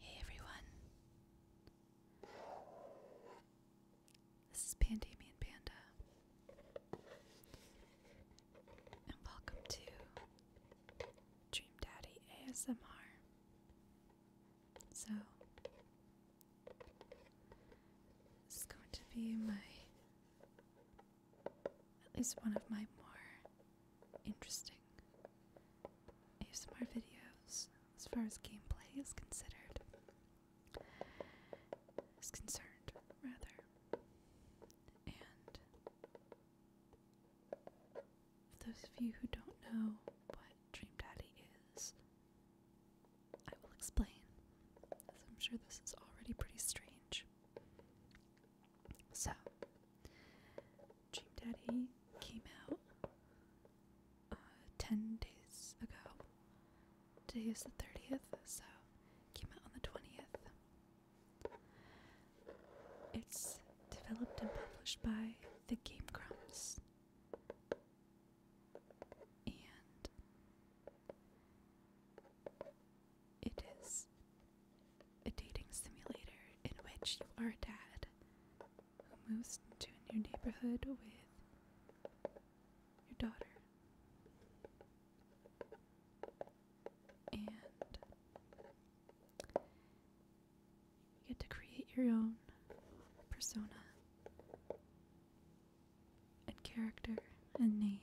Hey everyone. This is Pandemian Panda. And welcome to Dream Daddy ASMR. So, this is going to be my, at least one of my more interesting ASMR videos as far as gameplay is considered is concerned, rather. And for those of you who don't know what Dream Daddy is, I will explain, as I'm sure this is already pretty strange. So, Dream Daddy came out uh, 10 days ago, Today is the 30th, so came out on the 20th. It's developed and published by the Game Crumbs. And it is a dating simulator in which you are a dad who moves into a new neighborhood with your daughter and you get to create your own persona and character and name.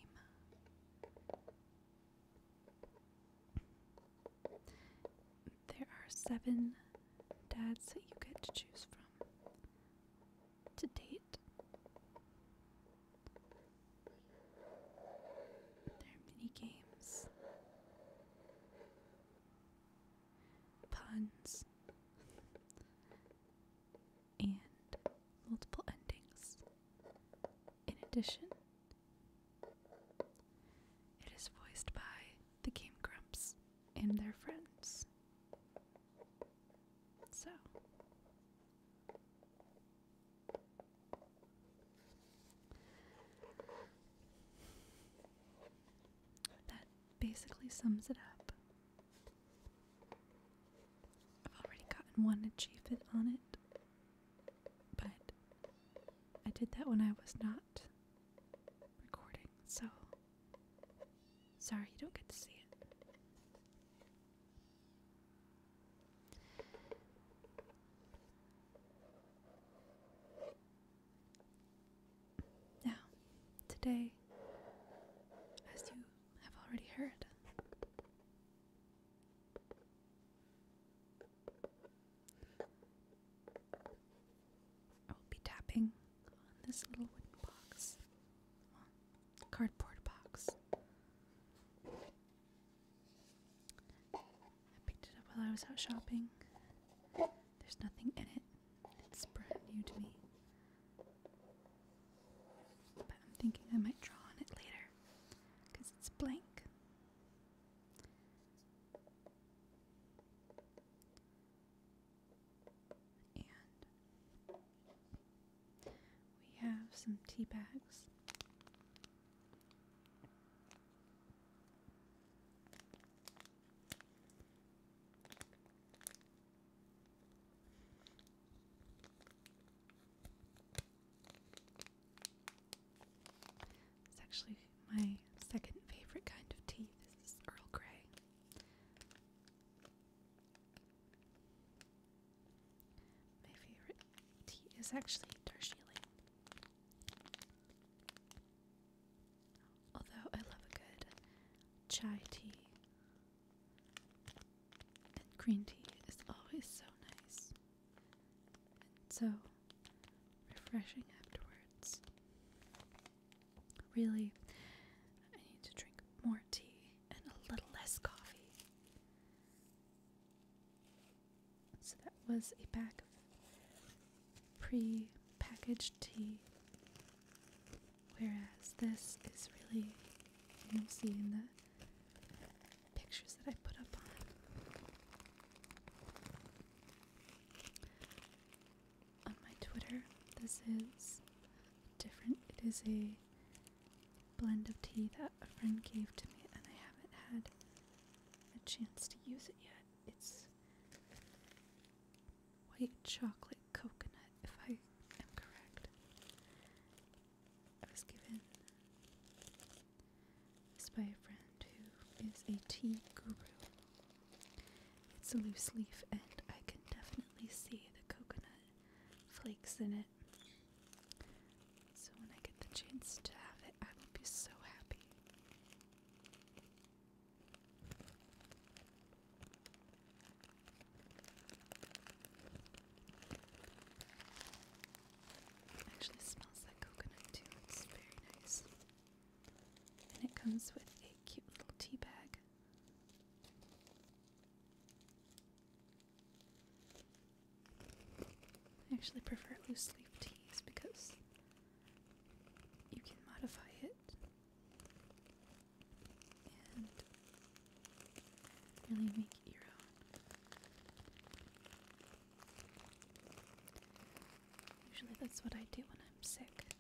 There are seven dads that you get to choose from to date. There are many games. Puns. and multiple endings. In addition, it is voiced by the Game Grumps and their friends. So, that basically sums it up. I've already gotten one achievement on it, but I did that when I was not recording, so sorry you don't get to see it. Now, today, as you have already heard, I will be tapping on this little wooden box cardboard box. I picked it up while I was out shopping. There's nothing in it. It's brand new to me. But I'm thinking I might draw on it later because it's blank. And we have some tea bags. It's actually my second favorite kind of tea. This is Earl Grey. My favorite tea is actually Darjeeling. Although I love a good chai tea, and green tea is always so nice and so refreshing afterwards. Really, I need to drink more tea and a little less coffee. So that was a bag of pre packaged tea, whereas this is really, you'll see in the pictures that I put up On my Twitter, this is different. It is a blend of tea that a friend gave to me, and I haven't had a chance to use it yet. It's white chocolate coconut, if I am correct. I was given this by a friend who is a tea guru. It's a loose leaf, and I can definitely see the coconut flakes in it. So when I get the chance to have it, I will be so happy. actually smells like coconut too. It's very nice. And it comes with a cute little tea bag. I actually prefer loose leaf teas because you can modify it and really make your own. Usually that's what I do when I'm sick,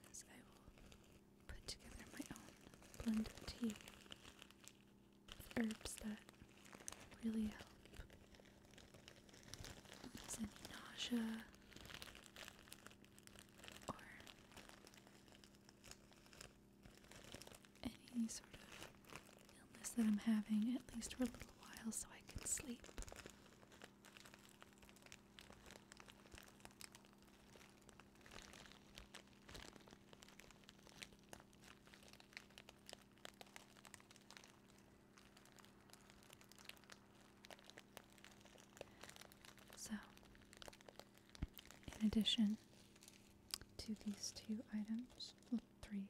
put together my own blend of tea with herbs that really help ease any nausea or any sort of illness that I'm having, at least for a little while, so I can sleep. So, in addition to these two items, well, three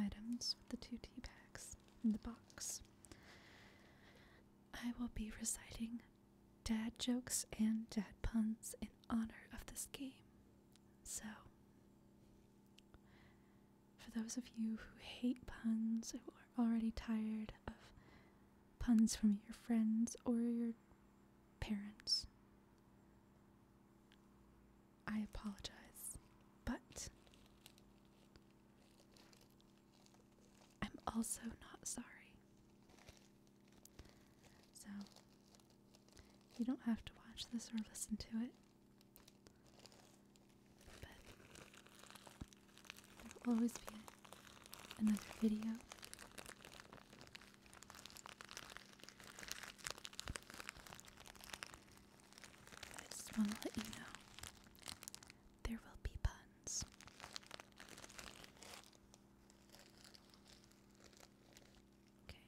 items with the two tea bags in the box, I will be reciting dad jokes and dad puns in honor of this game. So, for those of you who hate puns who are already tired of puns from your friends or your parents, I apologize, but I'm also not sorry. So you don't have to watch this or listen to it. But there will always be another video. I just want to let you know there will be puns. Okay.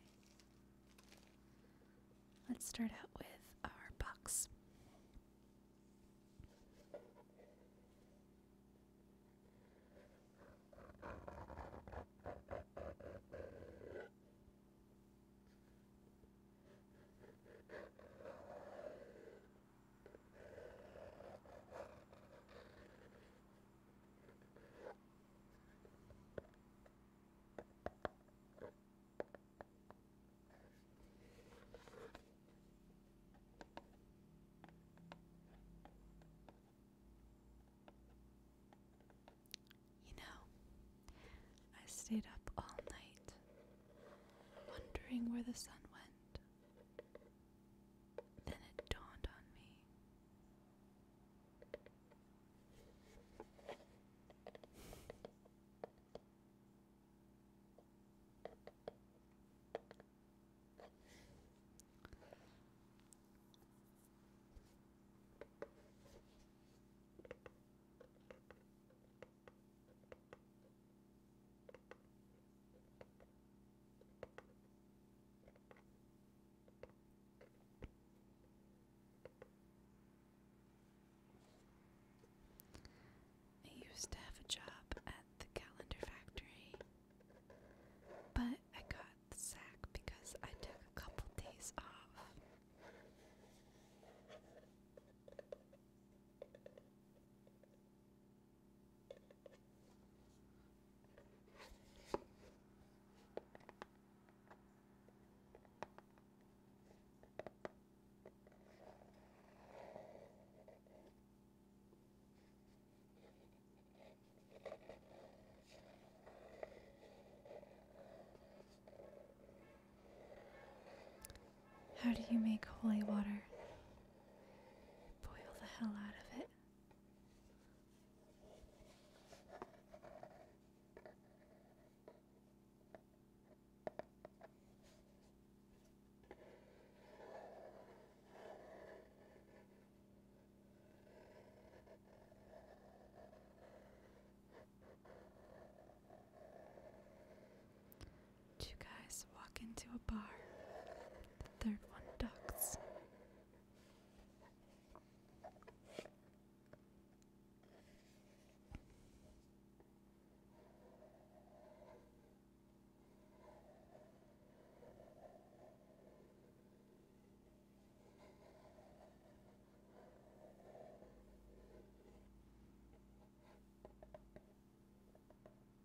Let's start out with our box. You know, I stayed up all night wondering where the sun went. Then it dawned on me. I used to have a job at the calendar factory, but I got the sack because I took a couple days off. How do you make holy water? Boil the hell out of it. Do you guys walk into a bar. The third one ducks. A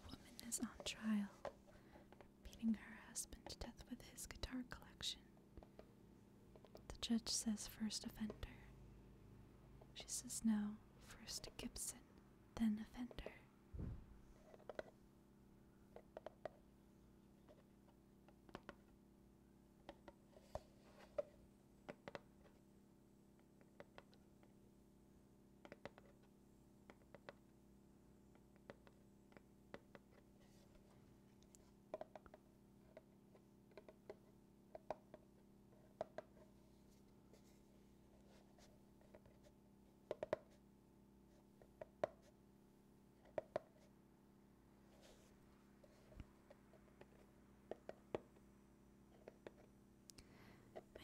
woman is on trial beating her husband to death with his guitar collection. The judge says first offender. She says no, first Gibson, then offender.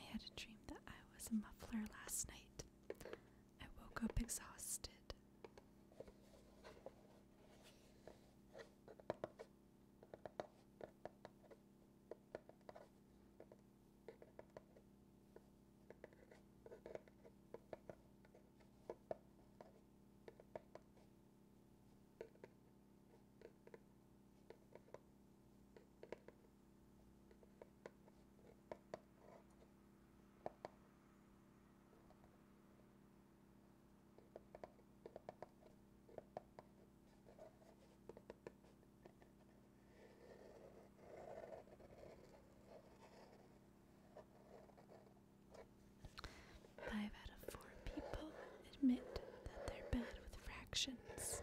I had a dream that I was a muffler last night. I woke up exhausted. Five out of four people admit that they're bad with fractions.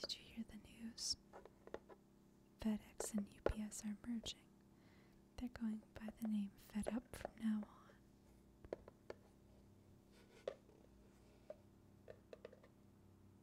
Did you hear the news? FedEx and UPS are merging. They're going by the name FedUp from now on.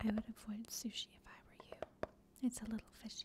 I would avoid sushi if I were you. It's a little fishy.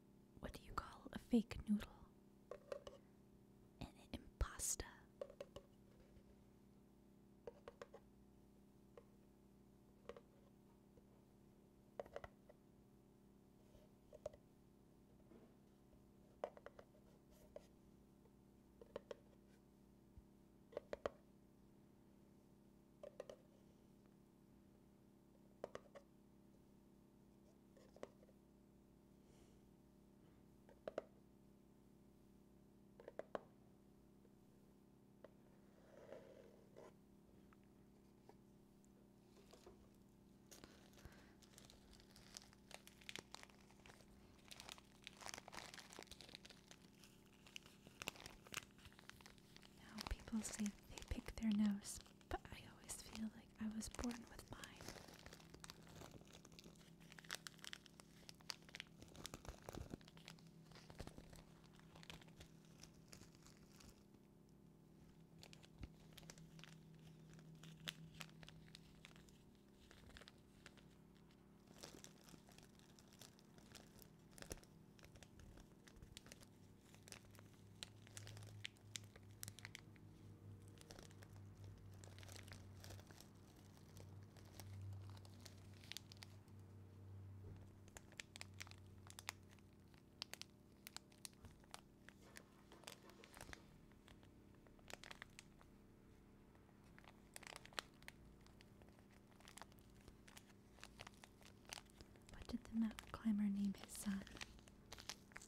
what do you call a fake noodle? An impasta. Now people say they pick their nose but I always feel like I was born with mine. What did the mount climber name his son?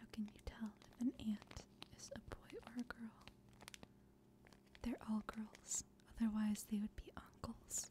How can you tell if an ant is a boy or a girl? They're all girls, otherwise, they would be uncles.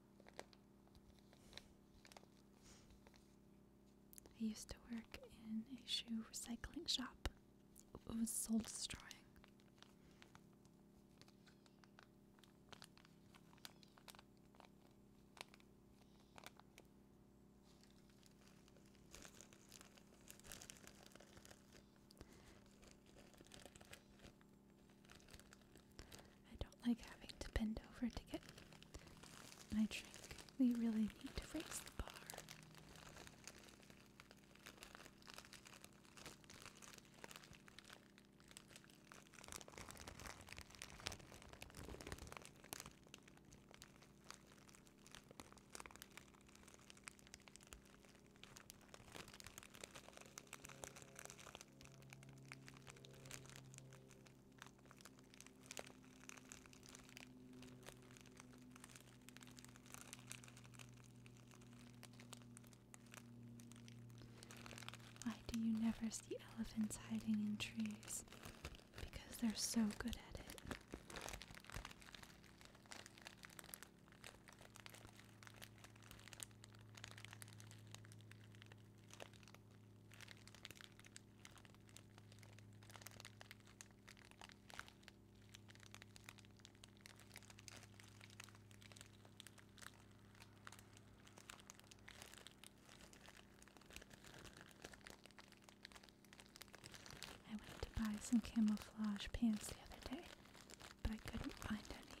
I used to work in a shoe recycling shop. It was soul destroying. I don't like having to bend over to get my drink. We really need to raise the bar. Why do you never see elephants hiding in trees? Because they're so good at it. I went to buy some camouflage pants the other day, but I couldn't find any.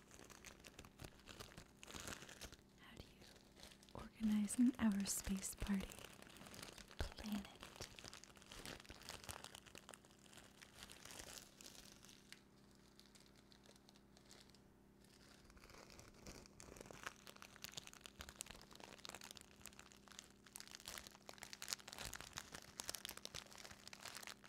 How do you organize an outer space party? Planet.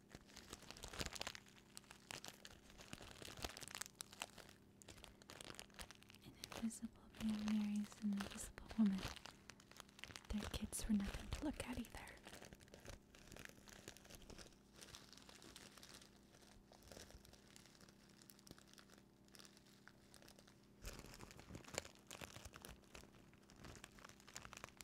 An invisible man marries an invisible woman. Their kids were nothing to look at either.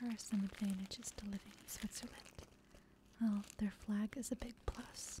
There are some advantages to living in Switzerland. Oh, their flag is a big plus.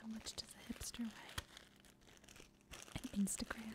How much does a hipster weigh? Instagram.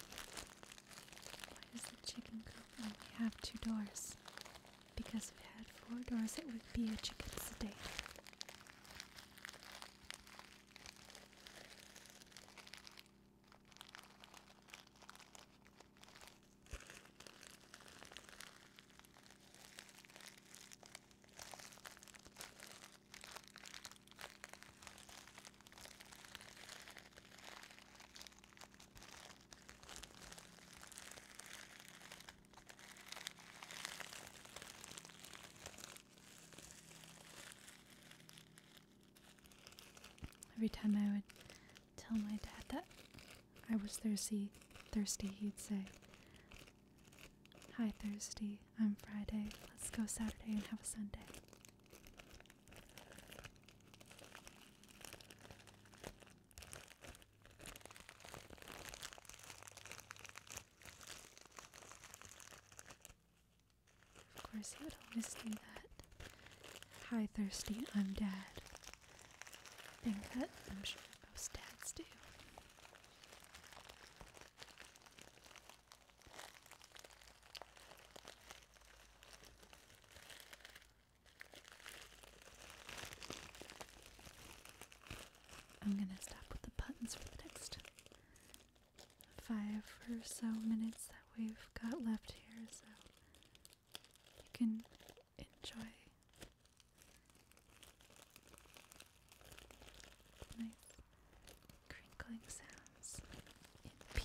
Why does the chicken coop only have two doors? Because if it had four doors, it would be a chicken sedan. Every time I would tell my dad that I was thirsty, thirsty, he'd say, Hi, Thursday. I'm Friday. Let's go Saturday and have a Sunday. Of course, he would always do that. Hi, Thursday, I'm Dad. I that I'm sure most dads do. I'm going to stop with the buttons for the next five or so minutes that we've got left here, so you can enjoy. Nice crinkling sounds in peace.